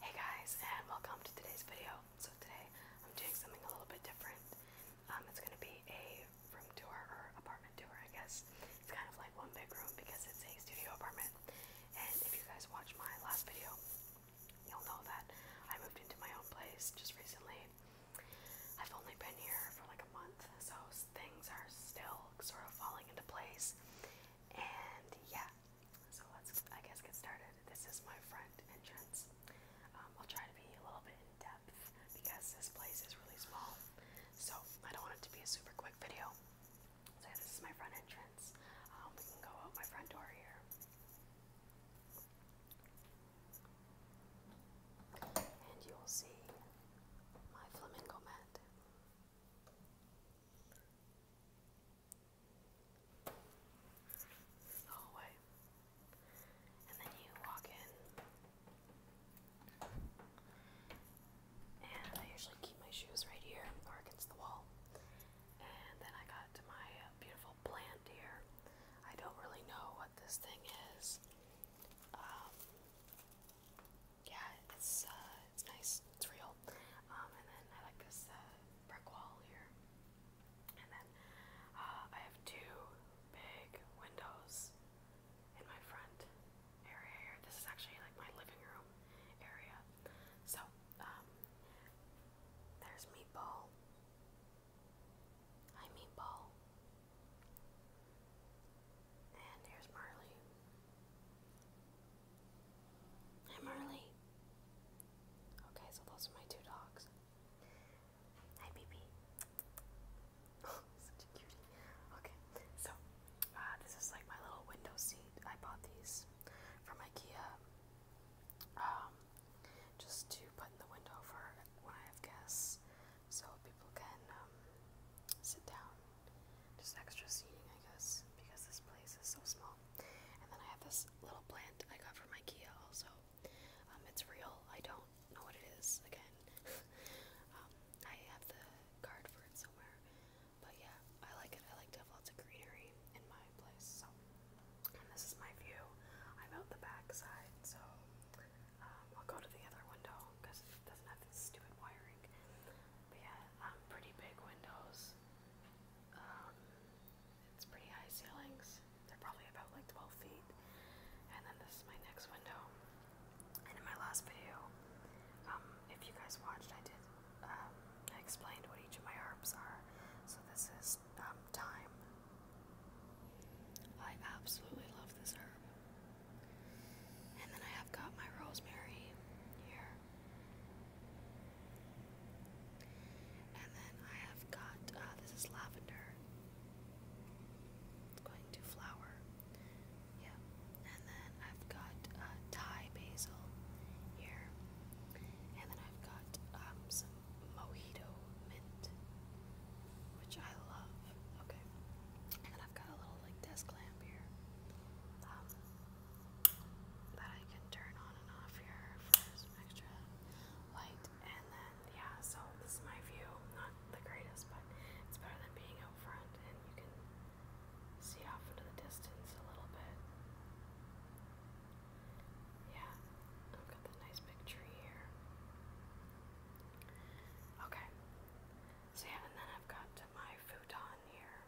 Hey guys, and welcome to today's video. So today I'm doing something a little bit different. Um, it's going to be a room tour or apartment tour, I guess. It's kind of like one big room because it's a studio apartment. And if you guys watched my last video, you'll know that I moved into my own place just recently. I've only been here for like a month, so things are still sort of falling into place. And yeah, so let's, I guess, get started. This is my front entrance. Um, I'll try to be a little bit in depth because this place is really small. So I don't want it to be a super quick video. So this is my front entrance. Um, we can go out my front door here. And you will see my flamingo mat the hallway. And then you walk in. And I usually keep my shoes right here or against the wall. And then I got to my beautiful plant here. I don't really know what this thing is. Um, yeah, it's uh, it's nice, it's real. Um, and then I like this uh, brick wall here. And then uh, I have two big windows in my front area here. This is actually like my living room area. So um, there's Meatball. Hi Meatball. And here's Marley. Hi, Marley. Okay, so those are my two dogs. Hi, BB. such a cutie. Okay, so uh, this is like my little window seat. I bought these from IKEA um, just to put in the window for when I have guests so people can um, sit down just extra seating, I guess, because this place is so small. And then I have this little plant I got from IKEA also. Um, it's real. I don't know what it is again. Um, I have the card for it somewhere. But yeah, I like it. I like to have lots of greenery in my place. So, and this is my view. I'm out the back side, so um, I'll go to the other window because it doesn't have this stupid wiring yeah, um, pretty big windows. Um, it's pretty high ceilings. They're probably about like 12 feet. And then this is my next window. And in my last video, um, if you guys watched, I did, um, I explained what each of my herbs are. So this is um, thyme. I absolutely love this herb. And then I have got my rosemary here. And then I have got, uh, this is lavender. It's going to flower. Yeah. And then I've got uh, Thai basil here. And then I've got um, some mojito mint, which I love. Okay. And I've got a little like desk lamp here. Um, that I can turn on and off here for some extra light. And then, yeah, so this is my view. Not the greatest, but it's better than being out front and you can see off into the distance a little bit. Yeah, I've got the nice big tree here. Okay, so yeah, and then I've got to my futon here.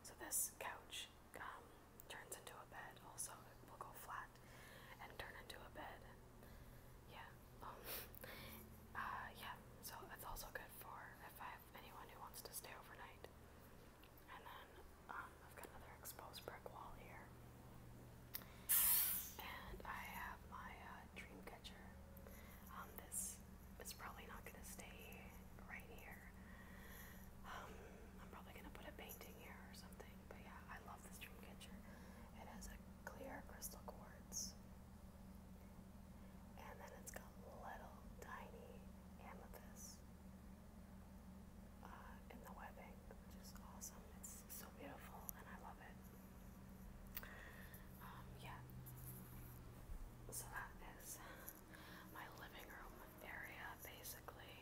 So this couch um, turns into a bed. Also, it will go flat and turn into a bed. Yeah. Um, uh, yeah. So it's also good for if I have anyone who wants to stay overnight. And then um, I've got another exposed brick wall here. And I have my uh, uh, Dreamcatcher. Um, this is probably not going to stay right here. Um, I'm probably going to put a painting here or something. But yeah, I love this Dreamcatcher. It has a clear crystal quartz. And then it's got little tiny amethyst uh, in the webbing, which is awesome. It's so beautiful and I love it. Um, yeah. So that is my living room area, basically.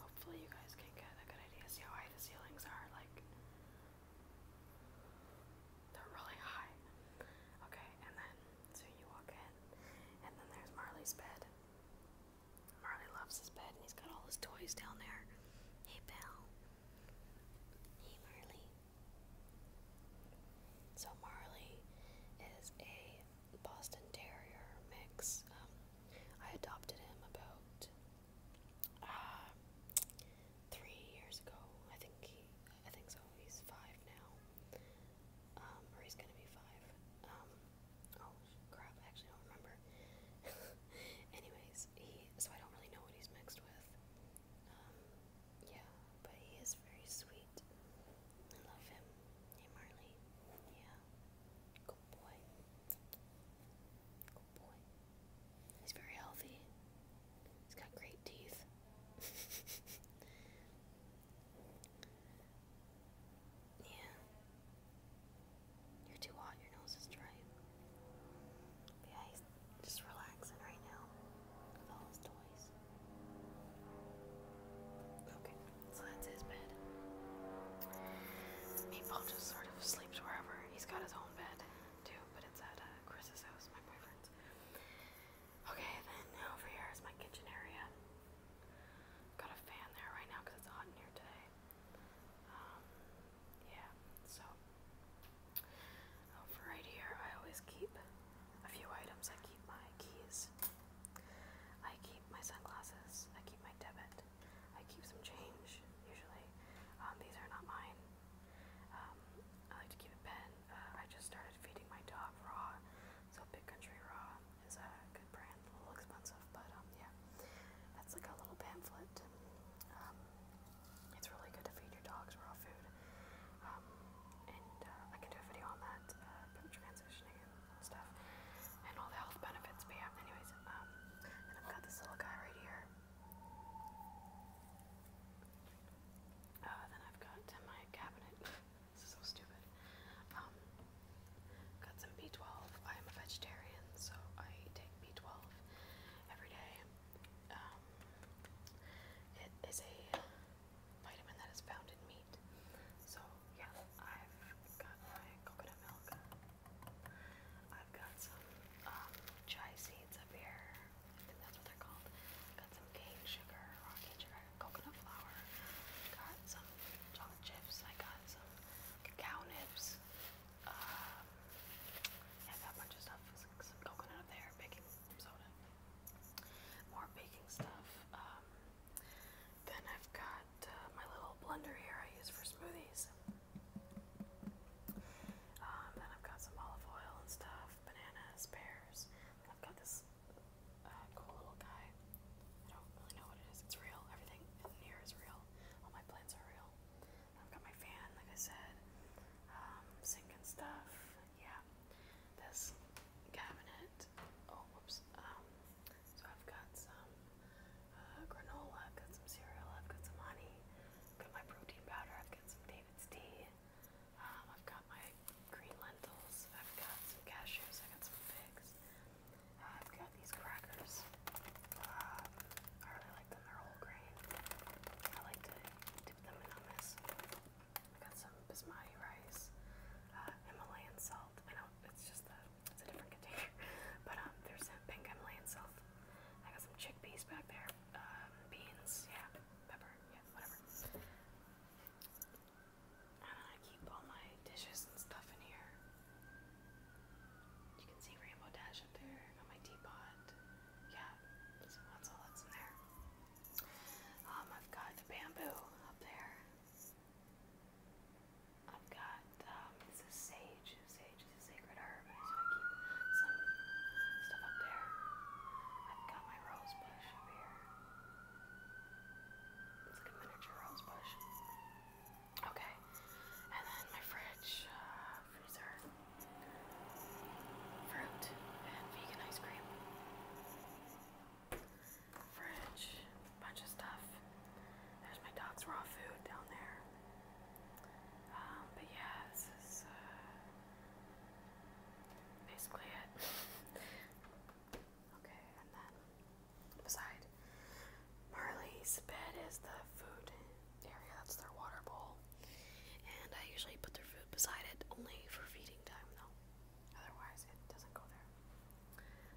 Hopefully, you guys can get a good idea. See how high the ceilings are? Like, they're really high. Okay, and then, so you walk in, and then there's Marley's bed. Marley loves his bed, and he's got all his toys down there. Hey, Belle. Hey, Marley. So Marley is a Boston Terrier mix. Um, I adopted him about uh, three years ago. I think I think so. He's five now, um, he's gonna be five. Um, oh crap! I actually don't remember. Anyways, he so I don't really know what he's mixed with. Um, yeah, but he is very sweet. I love him. Hey, Marley. Yeah. Good boy. Good boy. He's very healthy. He's got great teeth. yeah. You're too hot. Your nose is dry yeah, just relaxing right now with all his toys. Okay, so his bed. Meatball just sort of sleeps wherever. He's got his own bed too, but it's at uh, Chris's house, my boyfriend's. Okay, then over here is my kitchen area. Got a fan there right now because it's hot in here today. Um, yeah, so oh, right here, I always keep a few items. I keep my keys, I keep my sunglasses, I keep my debit, I keep some change usually. Um, these are not mine. Um, I like to keep a pen. Uh, I just started feeding my dog raw, so Big Country Raw is a good brand. A little expensive, but um, yeah, that's like a little pamphlet. It's really good to feed your dogs raw food. Um, and uh, I can do a video on that, uh, transitioning and stuff, and all the health benefits. But yeah, anyways, um, and I've got this little guy right here. Uh, then I've got in my cabinet. this is so stupid. Um, got some B12. I am a vegetarian, so I take B12 every day. Um, it is a vitamin that is found in meat. So yeah, I've got my coconut milk. I've got some um, chia seeds up here. I think that's what they're called. Got some cane sugar, raw cane sugar, coconut flour. Got some chocolate chips. I got some cacao nibs. Uh, I yeah, that bunch of stuff some coconut up there, baking soda, more baking stuff. Um, then I've got uh, my little blender here I use for smoothies. Um, then I've got some olive oil and stuff, bananas, pears. I've got this uh, cool little guy. I don't really know what it is. It's real. Everything in here is real. All my plants are real. I've got my fan, like I said, um, sink and stuff. Yeah, this cabinet. Oh, whoops. Um, so I've got some uh, granola, I've got some cereal, I've got some honey, I've got my protein powder, I've got some David's tea, um, I've got my green lentils, I've got some cashews, I've got some figs, uh, I've got these crackers. Uh, I really like them, they're whole grain. I like to dip them in hummus. I got some basmati rice, uh, Himalayan salt. I know it's just a, it's a different container, but um, there's some pink Himalayan salt. I got some chickpeas back there, um, beans, yeah, pepper, yeah, whatever. And I keep all my dishes and stuff in here. You can see Rainbow Dash up there. I got my teapot. Yeah, that's, all that's in there. Um, I've got the bamboo up there. I've got, um, it's a sage. Sage is a sacred herb, so I keep some stuff up there. I've got my rose bush up here. It's a miniature rose bush. Okay. And then my fridge, uh, freezer, fruit, and vegan ice cream. Fridge, bunch of stuff. There's my dog's raw food down there. Um, but yeah, this is uh, basically it. okay, and then beside Marley's bed is the food area, that's their water bowl. And I usually put their food beside it only for feeding time though. Otherwise it doesn't go there.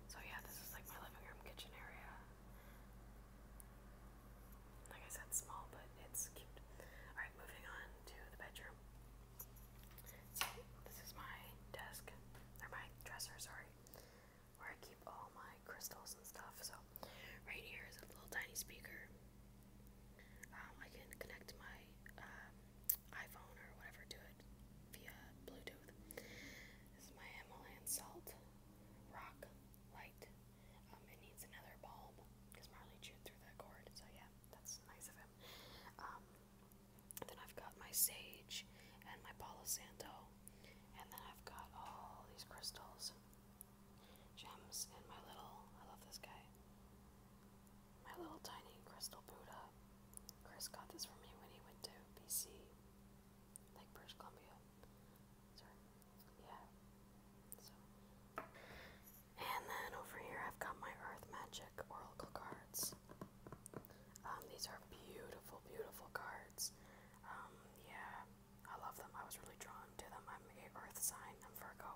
So yeah, this is like my living room kitchen area. Like I said, small, but it's cute. Alright, moving on to the bedroom. So this is my desk. Or my dresser, sorry where I keep all my crystals and stuff. So right here is a little tiny speaker. Um, I can connect my um, iPhone or whatever to it via Bluetooth. This is my Himalayan salt rock light. Um, it needs another bulb because Marley chewed through that cord. So yeah, that's nice of him. Um, then I've got my sage and my Palo Santo and then I've got all these crystals, gems, and my little, I love this guy, my little tiny crystal Buddha. Chris got this for me when he went to BC, like British Columbia. Sorry. Yeah. So. And then over here I've got my Earth Magic Oracle cards. Um, these are beautiful, beautiful cards. Um, yeah, I love them. I was really drawn to them. I'm a Earth sign. I'm Virgo,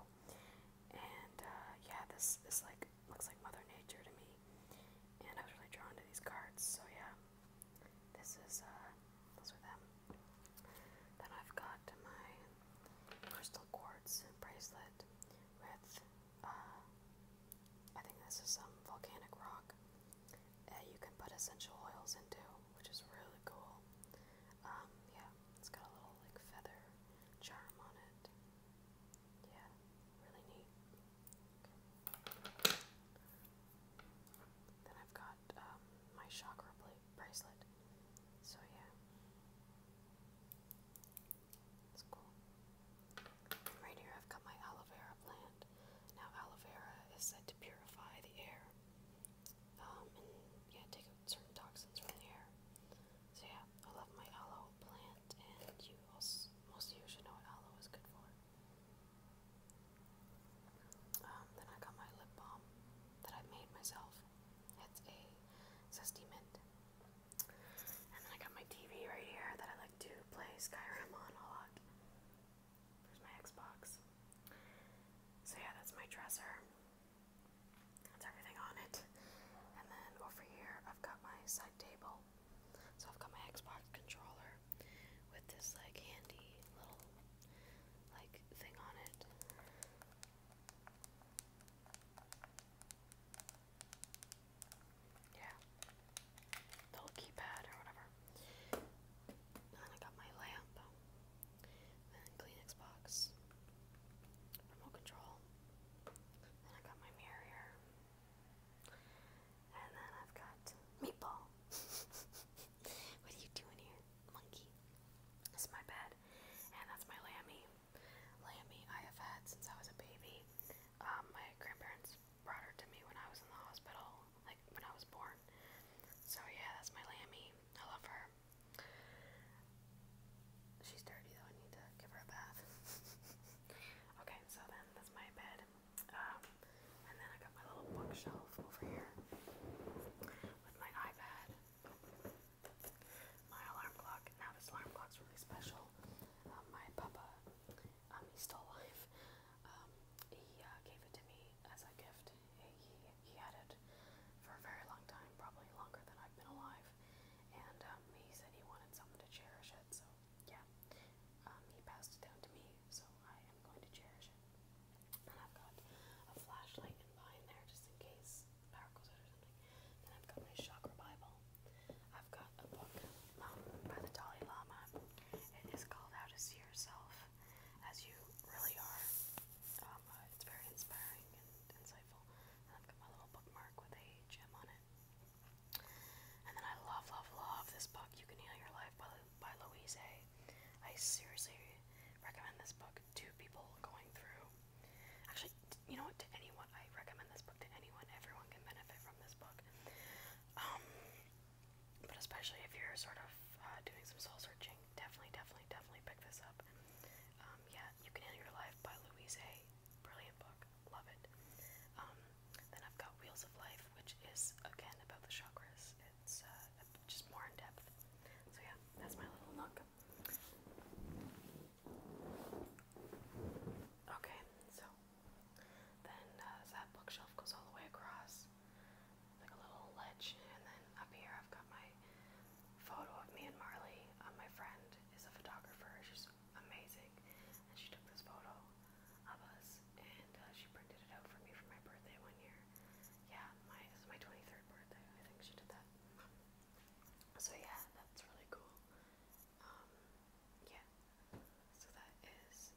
and uh, yeah, this is like looks like Mother Nature to me, and I was really drawn to these cards. So yeah, this is uh, those are them. Then I've got my crystal quartz bracelet with uh, I think this is some volcanic rock that you can put essential oils into, which is really cool. Um, yeah, it's got a little like feather charm on it. Yeah, really neat. Then I've got um, my chakra bracelet. So yeah, it's cool. right here I've got my aloe vera plant. Now, aloe vera is said to purify the air um, and yeah, take out certain toxins from the air. So, yeah, I love my aloe plant, and you also, most of you should know what aloe is good for. Um, then I got my lip balm that I made myself. It's a zesty mint. And then I got my TV right here that I like to play Skyrim on a lot. There's my Xbox. So yeah, that's my dresser. That's everything on it. And then over here, I've got my side table. So I've got my Xbox controller with this like handy little like thing on it yeah, the or whatever. then I got my lamp, then Kleenex box, remote control. Then I got my mirror and then I've got meatball. what are you doing here, monkey? This is my bed, and that's my lammy. Lammy I have had since I was a baby. Um, my grandparents brought her to me when I was in the hospital, like when I was born. So yeah, that's my lammy. I love her. She's dirty though, I need to give her a bath. okay, so then that's my bed. Um, and then I got my little bookshelf over here with my iPad, my alarm clock. Now this alarm clock's really special. Um, my papa um, he's still alive. Um, he um, uh, gave it to me as a gift. He, he had it for a very long time, probably longer than I've been alive. And um, he said he wanted someone to cherish it, so yeah. Um, he passed it down to me, so I am going to cherish it. And I've got a flashlight in behind there just in case power goes out or something. Then I've got my chakra Bible. I've got a book um, by the Dalai Lama. It is called How to See Yourself as You Really Are. Um, uh, it's very inspiring and insightful. And I've got my little bookmark with a gem on it. And then I love, love, love this book, You Can Heal Your Life by, by Louise A. I seriously recommend this book to people going through. Actually, you know what? To anyone, I recommend this book to anyone. Everyone can benefit from. Um, but especially if you're sort of uh, doing some soul searching, definitely, definitely, definitely pick this up. Um, yeah, You Can Heal Your Life by Louise Hay. Brilliant book. Love it. Um, then I've got Wheels of Life, which is, again, about the chakras. It's uh, just more in depth. So yeah, that's my little look. Okay, so then uh, that bookshelf goes all the way across, like a little ledge, and then up here I've got my photo of me and Marley. Uh, my friend is a photographer; she's amazing, and she took this photo of us, and uh, she printed it out for me for my birthday one year. Yeah, my this is my 23rd birthday. I think she did that. So yeah, that's really cool um, yeah, so that is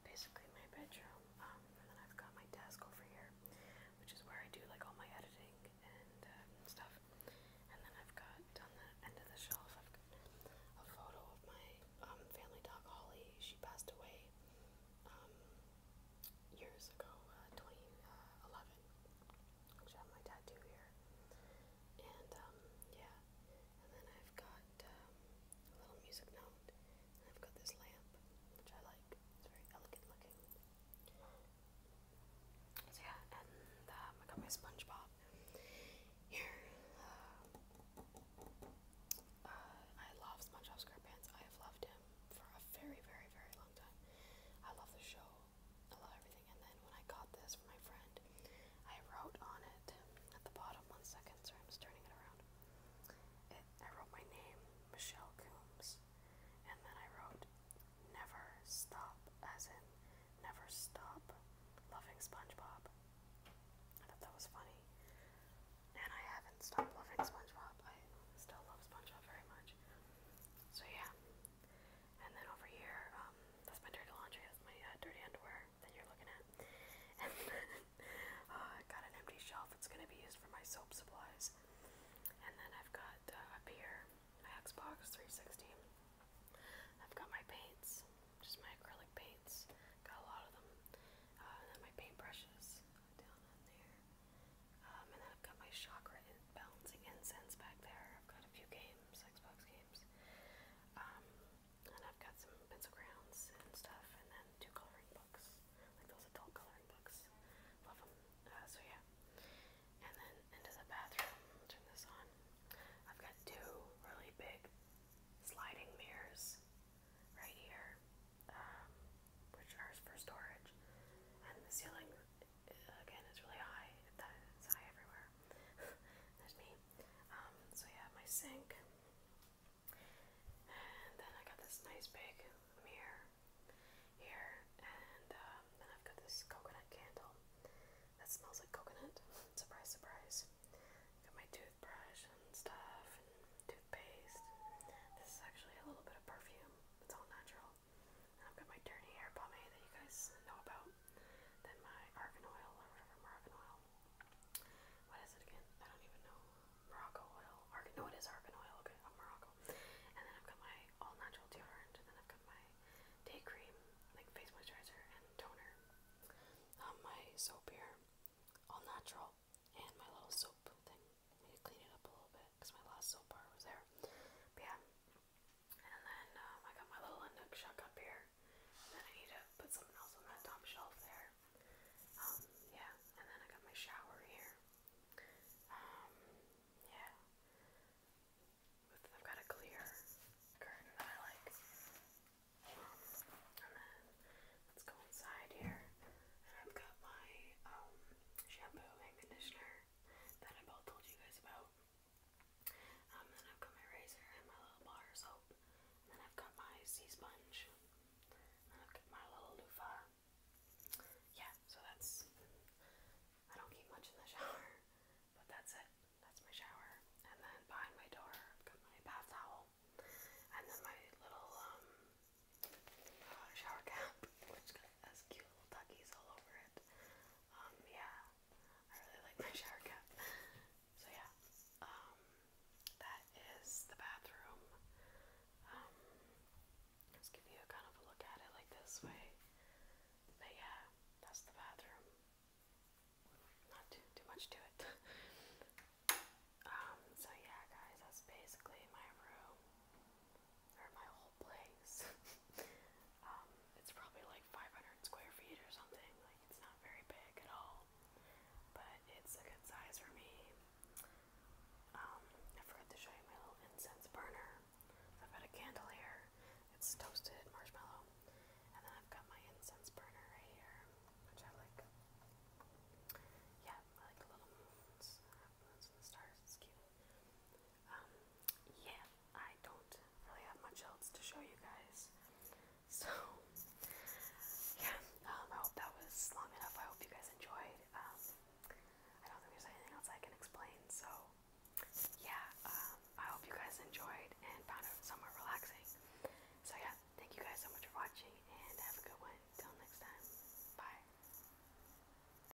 basically my bedroom, um, and then I've got my desk over here, which is where I do like all my editing and uh, stuff, and then I've got on the end of the shelf, I've got a photo of my um, family dog Holly, she passed away, um, years ago, uh, 2011, uh, which I have my tattoo here, and um, yeah, and then I've got um, a little music note, I've got this lamp, which I like, it's very elegant looking. yeah, and um, I got my SpongeBob here. Uh, uh, I love SpongeBob SquarePants. I have loved him for a very, very, very long time. I love the show. I love everything. And then when I got this from my friend, I wrote on it at the bottom. One second, sorry, I'm just turning it around. It, I wrote my name, Michelle Coombs, and then I wrote "Never Stop," as in "Never Stop Loving SpongeBob." I thought that was funny, and I haven't stopped loving SpongeBob. I still love SpongeBob very much. So yeah, and then over here, um, that's my dirty laundry, that's my uh, dirty underwear that you're looking at. And then uh, I got an empty shelf that's going to be used for my soap supplies. And then I've got uh, up here my Xbox 360. I've got my paints, just my acrylic paints. Got a lot of them. Uh, and then my paintbrushes down in there. Um, and then I've got my chakra in balancing incense back there. I've got a few games, Xbox games. Um, and I've got some pencil crayons and stuff, and then two coloring books, like those adult coloring books. Love them. Uh, so yeah. And then into the bathroom. Turn this on. I've got two really big sliding mirrors right here, um, which are for storage. And the ceiling again, it's really high. It's high everywhere. There's me. Um, so yeah, my sink. And then I got this nice big mirror here. And um, then I've got this coconut candle that smells like coconut. surprise, surprise. Got my toothbrush and stuff, toothpaste. This is actually a little bit of perfume. It's all natural. I've got my dirty hair pomade that you guys know about. Then my argan oil or whatever Moroccan oil. What is it again? I don't even know. Morocco oil. no it is argan oil, okay, Morocco. And then I've got my all natural deodorant and then I've got my day cream, like face moisturizer and toner. Um, my soap here, all natural, and my little soap thing. I it up a little bit because my last soap bar was there. But yeah, and then um, I got my little Inuk shuck up here. And then I need to put something else on that top shelf there. Um, yeah, and then I got my shower here. Um, yeah. I've got a clear curtain that I like. and then let's go inside here. And I've got my shampoo and conditioner that I both told you guys about. Um, then I've got my razor and my little bar soap. And I've got my sea sponge. And I've got my little loofah. Yeah, so that's. I don't keep much in the shower, but that's it. That's my shower. And then behind my door, I've got my bath towel. And then my little um, uh, shower cap, which has cute little duckies all over it. Um, yeah, I really like my shower cap. So yeah, um, that is the bathroom. Um, give you a kind of a look at it like this way. But yeah, that's the bathroom. Not too, too much to it. um, so yeah, guys, that's basically my room or my whole place. Um, it's probably like 500 square feet or something. Like it's not very big at all, but it's a good size for me. Um, I forgot to show you my little incense burner. I've got a candle here. It's toasted marshmallow, and then I've got my incense burner right here, which I like. Yeah, I like little moons, and stars. It's cute. Um, yeah, I don't really have much else to show you guys. So, yeah, um, I hope that was long enough. I hope you guys enjoyed. Um, I don't think there's anything else I can explain, so yeah, I hope you guys enjoyed and found it somewhat relaxing. So, yeah, thank you guys so much for watching and have a good one. Till next time, bye.